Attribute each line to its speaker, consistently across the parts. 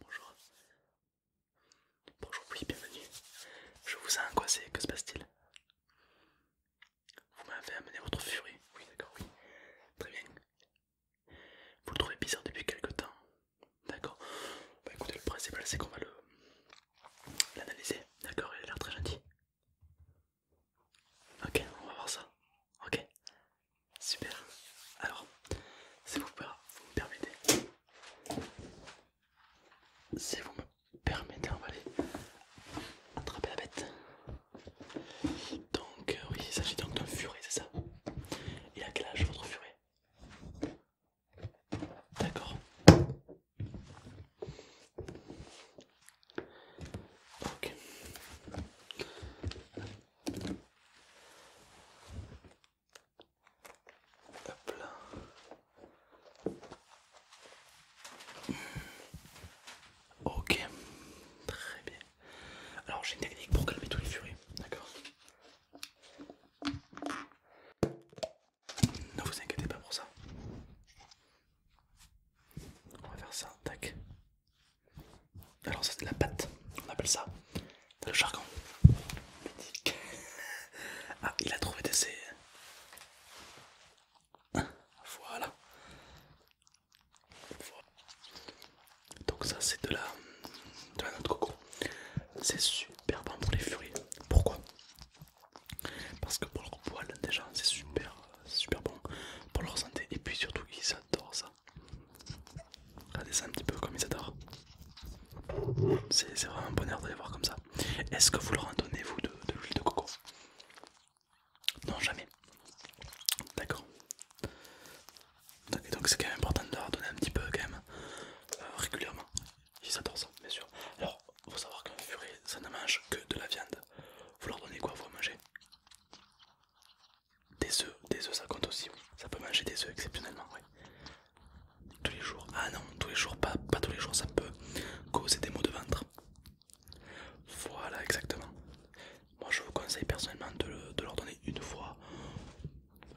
Speaker 1: Bonjour. Bonjour, oui, bienvenue. Je vous ai angoissé, que se passe-t-il Vous m'avez amené votre furie. Oui, d'accord, oui. Très bien. Vous le trouvez bizarre depuis quelque temps D'accord. Bah écoutez, le principal c'est qu'on va le l'analyser. D'accord, il a l'air très gentil. Ok, on va voir ça. Ok. Super. Alors, si vous, vous me permettez, si vous me permettez, on va aller attraper la bête. Donc, euh, oui, il s'agit donc d'un furet, c'est ça et à quel âge votre furet D'accord. Ok. Hop là. Ok, très bien. Alors j'ai une technique pour calmer tous les furieux, d'accord Ne vous inquiétez pas pour ça. On va faire ça, tac. Alors c'est de la pâte, on appelle ça le jargon. Ah, il a trouvé des C. Voilà. Donc ça c'est de la de la noix de coco. C'est super bon pour les furies. Pourquoi Parce que pour leur poil déjà c'est super super bon pour leur santé et puis surtout ils adorent ça. Regardez ça un petit peu comme ils adorent. C'est vraiment un bonheur de les voir comme ça. Est-ce que vous leur en donnez vous de, l'huile de coco Non, jamais. D'accord. Et donc c'est quand même important de leur donner un petit peu quand même euh, régulièrement. Ils adorent ça, bien sûr. Alors, faut savoir qu'un furet, ça ne mange que de la viande. Vous leur donnez quoi vous à manger Des œufs, des œufs ça compte aussi, Ça peut manger des œufs exceptionnellement, oui. Tous les jours. Ah non, tous les jours, pas, pas tous les jours, ça peut causer des maux de ventre. Voilà, exactement. Moi, je vous conseille personnellement de, leur donner une fois,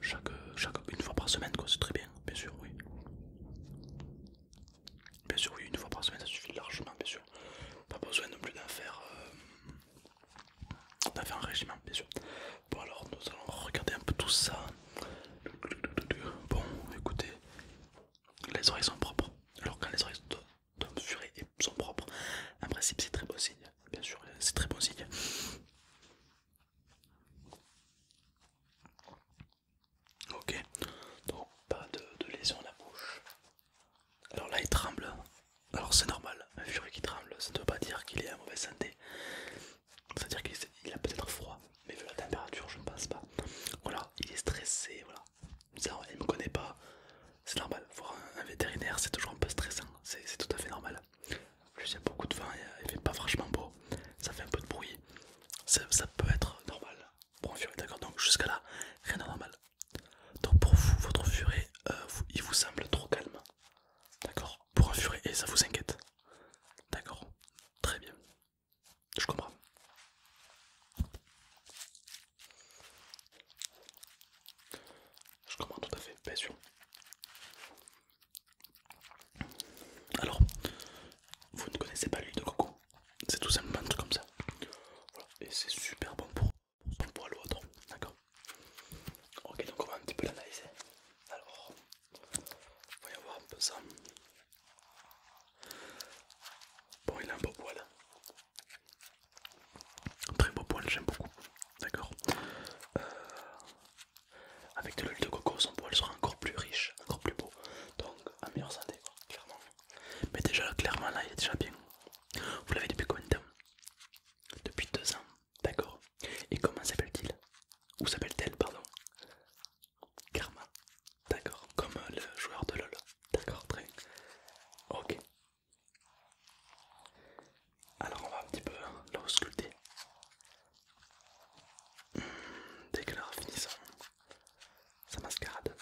Speaker 1: chaque, chaque, une fois par semaine, quoi. C'est très bien, bien sûr, oui. Bien sûr, oui, une fois par semaine, ça suffit largement, bien sûr. Pas besoin non plus d'en faire. Euh, on a fait un régime, hein, bien sûr. Bon, alors nous allons regarder un peu tout ça. Bon, écoutez, les oreilles sont propres. Alors, quand les oreilles d'un furet sont propres, en principe, c'est très bon signe. Bien sûr, c'est très bon signe. Ok, donc pas de, de lésion à la bouche. Alors là, il tremble. Alors, c'est normal, un furet qui tremble, ça ne veut pas dire qu'il est en mauvaise santé. C'est-à-dire qu'il a peut-être froid, mais vu la température, je ne pense pas. Voilà, il est stressé, voilà. il me connaît pas, c'est normal. Voir un, vétérinaire, c'est toujours un peu stressant, c'est tout à fait normal. plus, il y a beaucoup de vent, il fait pas franchement beau, ça fait un peu de bruit. Ça, peut être normal pour un furet, d'accord Donc, jusqu'à là, rien de normal. Donc, pour vous, votre furet, euh, il vous semble trop calme. D'accord Pour un furet, et ça vous inquiète D'accord Très bien. Je comprends. Je comprends tout à fait, bien sûr. Alors, vous ne connaissez pas l'huile de coco, c'est tout simplement un truc comme ça. Et c'est super bon pour, pour poil ou autre. Ok, donc on va un petit peu l'analyser. Alors, voyons voir un peu ça. Bon, il a un beau poil. très beau poil, j'aime beaucoup. D'accord. Euh, avec de l'huile de coco, son poil sera encore plus riche, encore plus beau. Donc, en meilleure santé, clairement. Mais déjà, clairement, là, il est déjà bien. Vous l'avez depuis combien de temps Depuis deux ans. D'accord. Et comment s'appelle-t-il Ou s'appelle-t-elle, pardon Karma. D'accord. Comme euh, le joueur de LOL. D'accord, très Ok. Alors on va un petit peu hein, l'ausculter. sculpter hmm, dès qu'elle aura fini sa mascarade.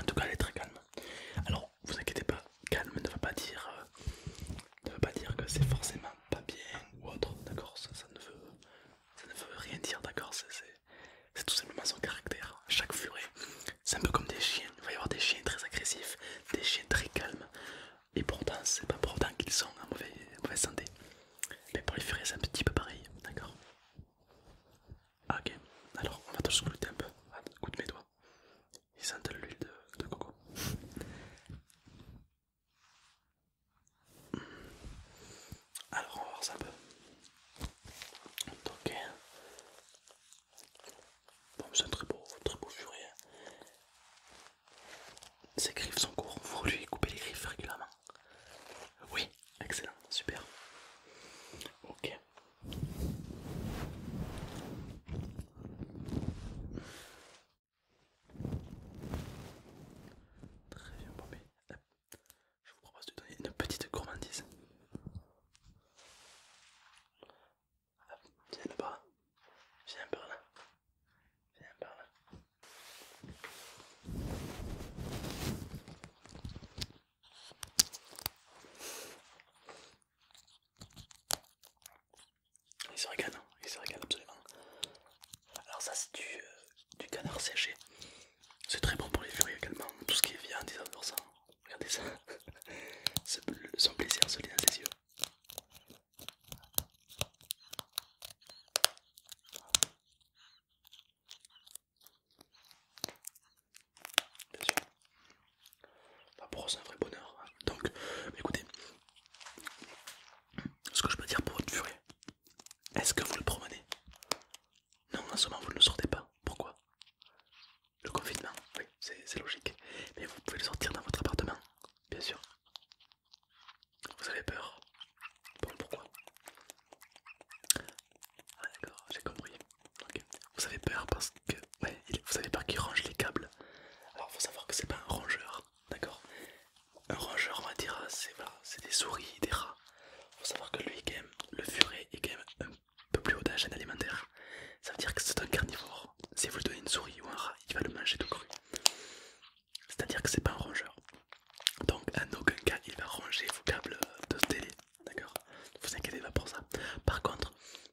Speaker 1: En tout cas elle est très calme. Alors vous inquiétez pas, calme ne va pas dire, euh, ne veut pas dire que c'est forcément pas bien ou autre, d'accord ça, ne veut rien dire, d'accord C'est tout simplement son caractère. Chaque furet, c'est un peu comme des chiens. Il va y avoir des chiens très agressifs, des chiens très calmes, et pourtant, c'est pas pourtant qu'ils sont en mauvaise, santé. Mais pour les furets, c'est un petit peu pareil, d'accord ah, Ok, alors on va te scruter un peu. Ah, écoute mes doigts. Ils de l'huile de, coco. Alors on va voir ça un peu. ok hein. bon, c'est un très beau, très Ses hein. griffes sont courtes, faut lui couper les griffes régulièrement. Oui, excellent, super. Ok. Très bien, Bobby. Je vous propose de donner une petite gourmandise. Viens là-bas. Viens par là. Viens par là. Il se régale, il se régale absolument. Alors ça c'est euh, du, canard séché. C'est très bon pour les furieux également, tout ce qui est viande, 100%, ça. Hein. Regardez ça, son plaisir se lit dans ses yeux bien sûr. un vrai bonheur. Hein. Donc, écoutez, ce que je peux dire pour votre furet, est-ce que vous le promenez Non, en ce moment, vous ne le sortez pas. Pourquoi Le confinement, oui, c'est logique. Mais vous pouvez le sortir dans votre appartement, bien sûr. Vous avez peur Bon, pourquoi Ah, d'accord, j'ai compris. Vous avez peur parce que vous avez peur qu'il range les câbles. Alors faut savoir que c'est pas un rongeur, d'accord Un rongeur, on va dire, c'est des souris, des rats. Faut savoir que lui, quand le furet est quand un peu plus haut dans alimentaire. Ça veut dire que c'est un carnivore. Si vous lui donnez une souris ou un rat, il va le manger tout cru. C'est-à-dire que c'est pas un rongeur. Donc en aucun cas il va ranger vos câbles de télé, d'accord Ne vous inquiétez pas pour ça. Par contre,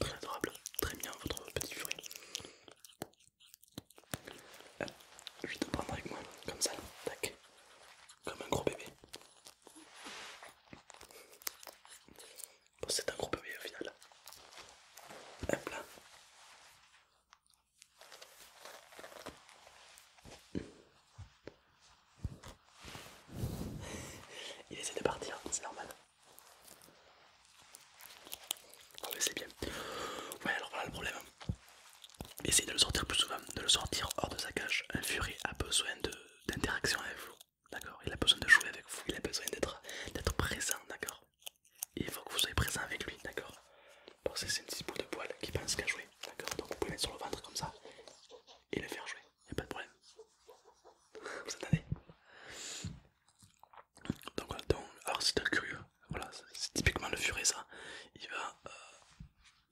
Speaker 1: Très adorable, très bien votre petit fruit. Ah, je vais te prendre avec moi, comme ça, tac, comme un gros bébé. c'est un gros bébé au final. Hop là. Il essaie de partir, c'est normal. On le c'est bien. Ouais, alors voilà le problème. Essayez de le sortir plus souvent, de le sortir hors de sa cage. Un furet a besoin d'interaction avec vous, d'accord Il a besoin de jouer avec vous, il a besoin d'être présent, d'accord Il faut que vous soyez présent avec lui, d'accord Parce que c'est une petite boule de poil qui pense qu'à jouer, d'accord Donc vous pouvez mettre sur le ventre comme ça et le faire jouer il a pas de problème. Vous attendez donc, donc, alors c'est t'es curieux, voilà, c'est typiquement le furet ça. Il va, euh,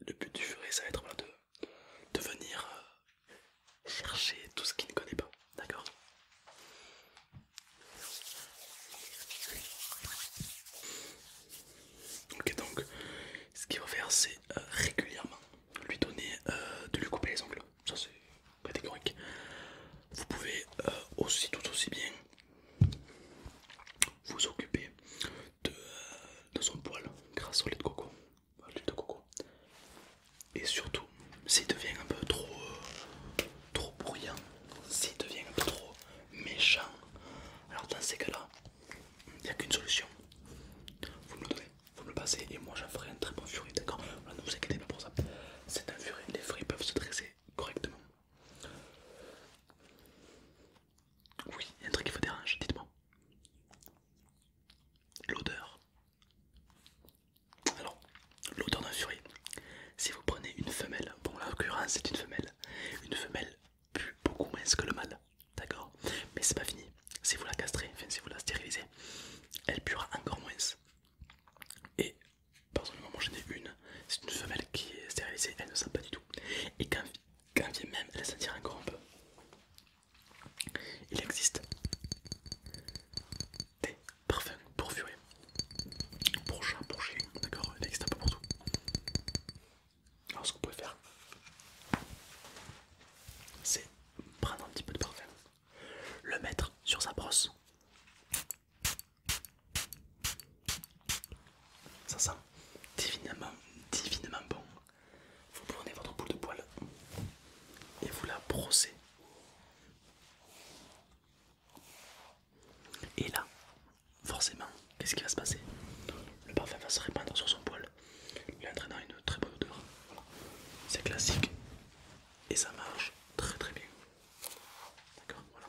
Speaker 1: le but du furet ça va être de, venir euh, chercher tout ce qu'il ne connaît pas, d'accord Ok donc, ce qu'il va faire c'est euh, régulièrement lui donner euh, de lui couper les ongles, ça c'est catégorique. Vous pouvez euh, aussi tout aussi bien vous occuper euh, de, son poil grâce au lait de coco, l'huile de coco. Et surtout, s'il devient un peu trop, trop bruyant, s'il devient un peu trop méchant, alors dans ces cas-là, il n'y a qu'une solution. Vous vous me passez et moi j'en ferai un très bon furie d'accord Ne vous inquiétez pas pour ça. C'est un furie. les furies peuvent se dresser correctement. Oui, il y a un truc qui vous dérange, hein, dites-moi. L'odeur. Alors, l'odeur d'un furie. Si vous prenez une femelle, bon, en l'occurrence, c'est une femelle. Une femelle pue beaucoup moins que le mâle. D'accord Mais c'est pas fini. Si vous la castrez, enfin si vous la stérilisez, elle puera encore moins. Et le moi j'en ai une. C'est une femelle qui est stérilisée, elle ne sent pas du tout. Et quand, elle vient même, elle sentira encore un peu. Il existe des parfums pour furets pour chat, pour chien, d'accord Il existe un peu partout. Alors ce que vous pouvez faire, c'est prendre un petit peu de parfum, le mettre sur sa brosse. Ça sent divinement, divinement bon. Vous prenez votre boule de poil et vous la brossez. Et là, forcément, qu'est-ce qui va se passer Le parfum va se répandre sur son poil. Il entraînant une très bonne odeur. C'est classique et ça marche très très bien. D'accord, voilà.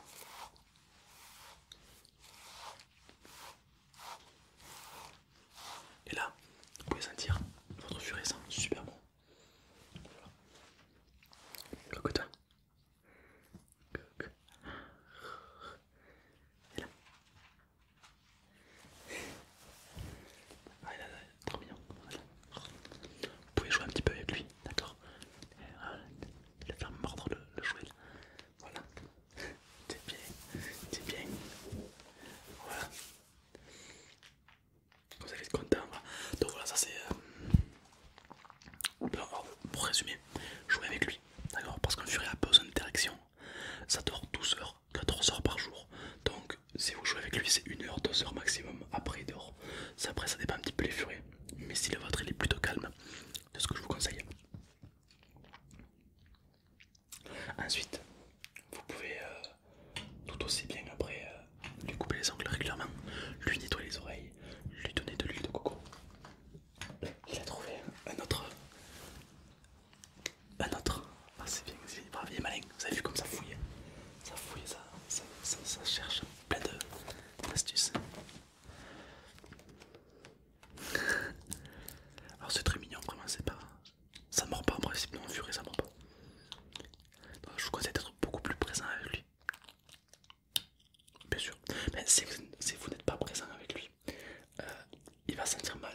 Speaker 1: Et là, vous pouvez sentir votre furet sent super bon. Voilà. Cocotin. cocotin, Et là. Ah, il a trop mignon. Vous pouvez jouer un petit peu avec lui, d'accord Il va faire mordre le, jouet. Voilà. C'est bien, c'est bien. Voilà. Vous allez être content. Donc voilà, ça c'est. Euh, Pour résumer, jouer avec lui, d'accord Parce qu'un furet a besoin d'interaction ça dort 12 heures, 14 heures par jour. Donc si vous jouez avec lui, c'est 1 heure, 2 heures maximum. Après, il dort. Après, ça dépend un petit peu les Mais si le vôtre il est plutôt calme, c'est ce que je vous conseille. Ensuite, vous pouvez euh, tout aussi bien après euh, lui couper les ongles régulièrement, lui nettoyer les oreilles, lui donner de l'huile de coco. Il a trouvé un autre un autre. Ah, c'est bien, c'est malin. Vous avez vu comme ça fouille. Hein. Ça fouille, ça, cherche plein astuces. Alors c'est très mignon, vraiment, c'est pas... Ça mord pas en principe, non, furie, ça mord pas. Bah, je vous conseille d'être beaucoup plus présent avec lui. Bien sûr. Mais si vous, n'êtes pas présent avec lui, euh, il va sentir mal.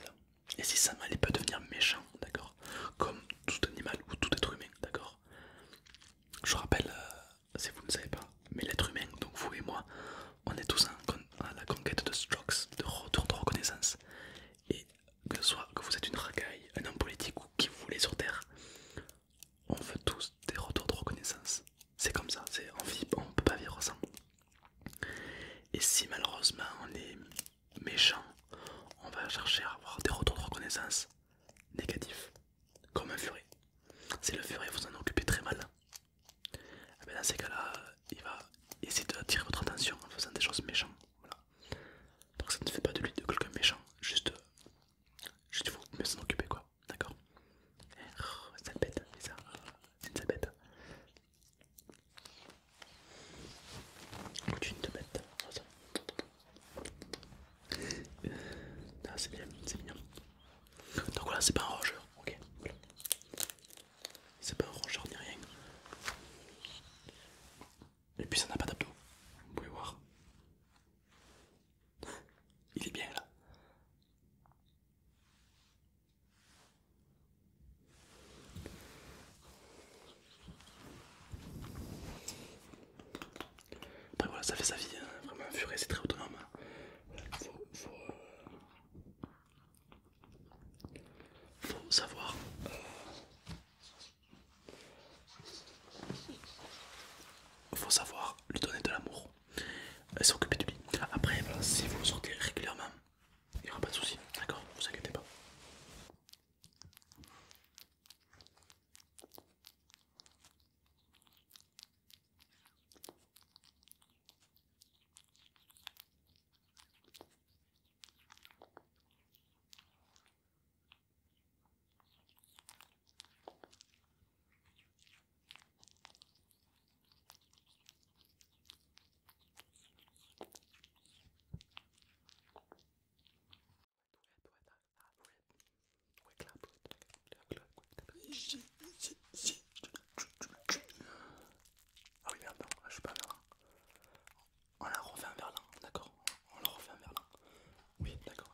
Speaker 1: Et si ça m'allait pas peut devenir méchant, d'accord Comme tout animal ou tout être humain, d'accord Je rappelle, euh, si vous ne savez pas, mais l'être humain, donc vous et moi, on est tous à la conquête de strokes, de retour de reconnaissance. Et que ce soit que vous êtes une racaille, un homme politique ou qui vous voulez sur Terre, on veut tous des retours de reconnaissance. C'est comme ça, on ne peut pas vivre sans. Et si malheureusement on est méchant, on va chercher à avoir des retours de reconnaissance négatifs, comme un furet. Si le furet vous en occupez très mal, eh ben, dans ces cas-là, il va essayer d'attirer votre attention en faisant des choses méchantes. Donc ça ne fait pas de lui de quelqu'un méchant, juste, juste vous en s'en occuper, quoi. D'accord C'est une bête, c'est bête. Continue de te euh, ah, c'est bien, c'est bien. Donc voilà, c'est pas un rongeur, ok. C'est pas un rongeur ni rien. Et puis ça n'a pas d'abdos, vous pouvez voir. Il est bien là. Après voilà, ça fait sa vie, hein. vraiment un c'est très autonome. Hein. Faut, faut, euh, savoir euh, faut savoir lui donner de l'amour et s'occuper de lui. Après, si vous sortez régulièrement il n'y aura pas de souci, d'accord Vous inquiétez pas. Ah oui je suis pas On la refait un verlan, d'accord. On la refait un verlan. Oui, d'accord,